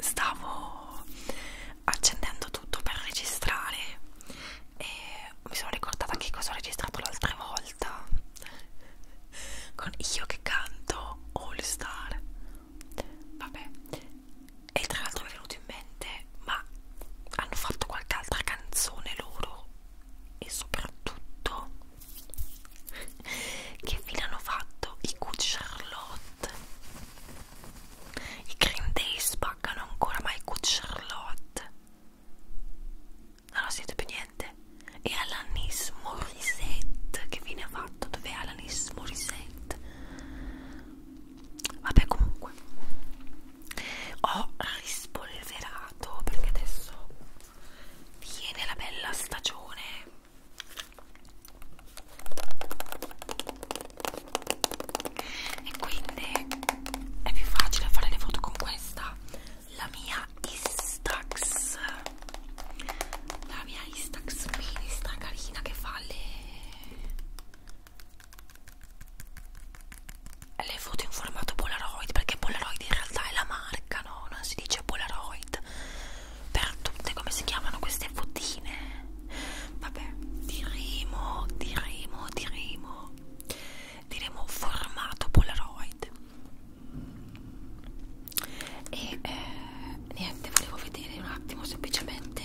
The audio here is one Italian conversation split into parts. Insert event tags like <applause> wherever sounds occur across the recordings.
stavo accendendo tutto per registrare e mi sono ricordata che cosa ho registrato l'altra volta con io che canto All Star vabbè e tra l'altro mi è venuto in mente ma hanno fatto qualche altra canzone loro e soprattutto che fine hanno fatto i Good Charlotte? I Green Day spaccano ancora, ma i Good Charlotte non ho sentito più niente. E Alanis Morissette, che fine ha fatto? Dov'è Alanis Morissette? Vabbè, comunque ho rispolverato perché adesso viene la bella stagione e quindi è più facile fare le foto con questa la mia Instax la mia Instax mini sta carina che fa le le foto in formato Polaroid perché Polaroid in realtà è la marca italiano non si dice Polaroid per tutte come si chiamano queste fotine vabbè diremo diremo diremo diremo formato Polaroid e eh, niente volevo vedere un attimo semplicemente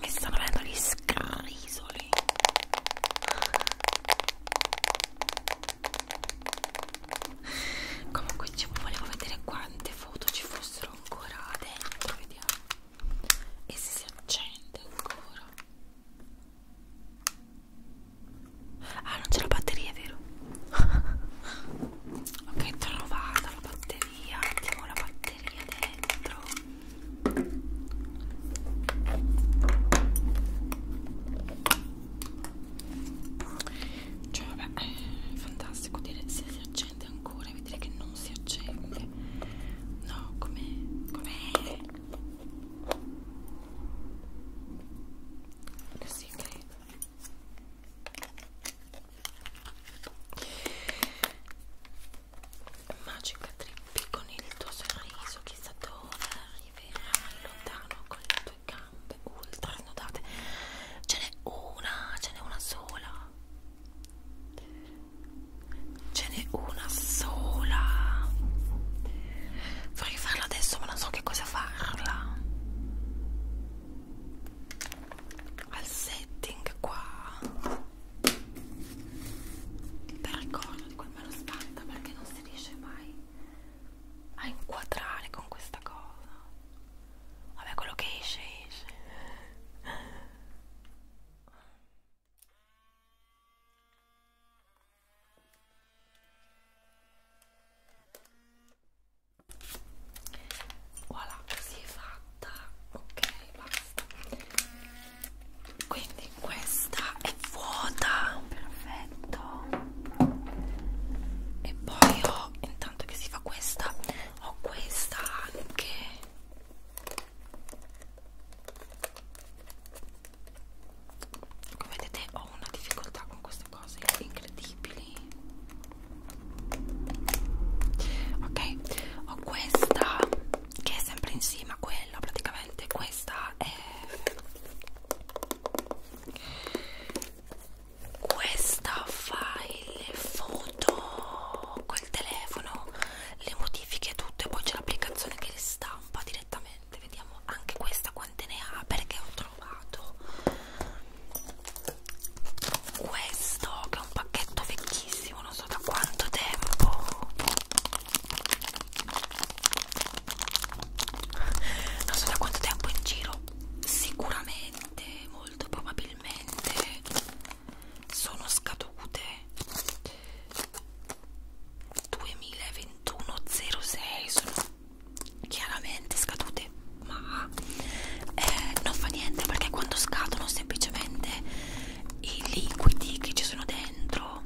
Mi stanno venendo gli scarisoli. Comunque ci volevo vedere quante foto ci fossero ancora dentro, vediamo. E se si accende ancora. Ah, non c'è la batteria, è vero? <laughs> ok, trovata la batteria. Mettiamo la batteria dentro. Cioè, vabbè, è fantastico dire se si accende ancora e vedere che non si accende. No, come. Com'è? Così, ok. Magica Trippi con il tuo sorriso, chissà dove arriverai lontano con le tue gambe ultra snodate. Ce n'è una, ce n'è una sola. Ce n'è farne una sola vorrei farla adesso ma non so che cosa farla al setting qua per ricordo quel me lo spanta perché non si riesce mai a inquadrare con questa cosa vabbè quello che esce esce voilà si è fatta ok basta quindi questa è vuota perfetto e poi ho intanto che si fa questa ho questa anche come vedete ho una difficoltà con queste cose incredibili ok ho questa che è sempre insieme a quella praticamente questa è questa fa le foto col telefono le modifiche tutte poi c'è l'applicazione che le stampa direttamente niente vediamo anche questa quante ne ha perché ho trovato questo che è un pacchetto vecchissimo non so da quanto tempo non so da quanto tempo in giro sicuramente molto probabilmente sono scadute 2021-06 sono chiaramente scadute ma eh, non fa niente perché quando scadono semplicemente i liquidi che ci sono dentro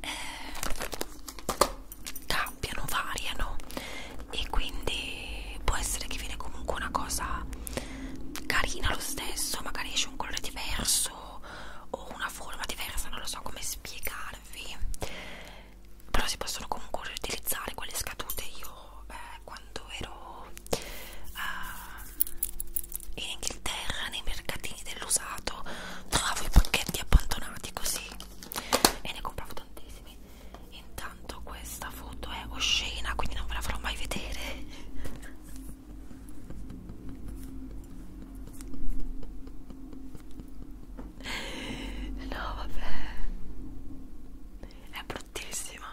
eh, cambiano, variano e quindi può essere che viene comunque una cosa carina lo stesso magari esce un colore diverso diverso o una forma diversa, non lo so come spiegarvi però si possono comunque riutilizzare quelle scadute io eh, quando ero eh, in Inghilterra nei mercatini dell'usato trovavo i pacchetti abbandonati così e ne compravo tantissimi intanto questa foto è oscena quindi non ve la farò mai vedere No vabbè È bruttissima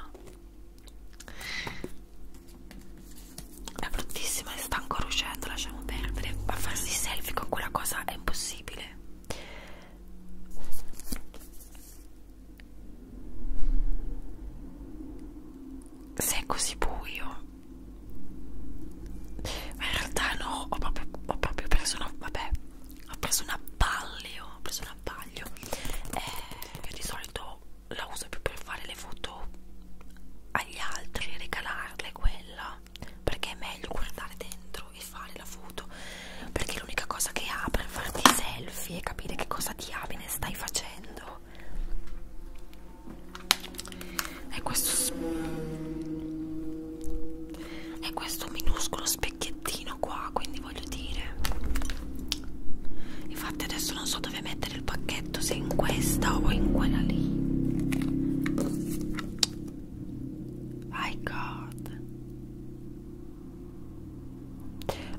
È bruttissima e sta ancora uscendo Lasciamo perdere Ma farsi selfie con quella cosa è impossibile Se è così buio ma in realtà no ho proprio, ho proprio preso una vabbè ho preso un abbaglio ho preso un abbaglio eh, io di solito la uso più per fare le foto agli altri regalarle quella perché è meglio guardare dentro e fare la foto perché l'unica cosa che ha per farti selfie e capire che cosa diamine stai facendo è questo è questo minuscolo specchiettino qua quindi voglio dire infatti adesso non so dove mettere il pacchetto se in questa o in quella lì my god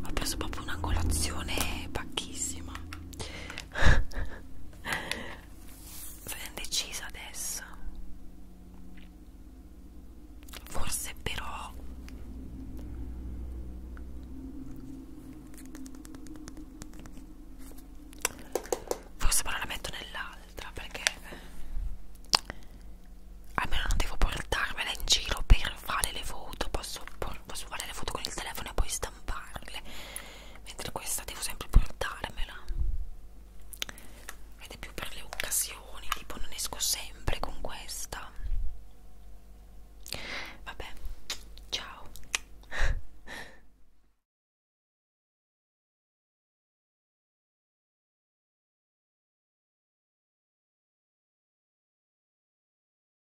ho preso proprio una colazione pacchissima <laughs> sono indecisa adesso forse però forse però la metto nell'altra perché almeno non devo portarmela in giro per fare le foto posso, posso fare le foto con il telefono e poi stamparle mentre questa devo sempre portarmela ed è più per le occasioni tipo non esco sempre con questa vabbè ciao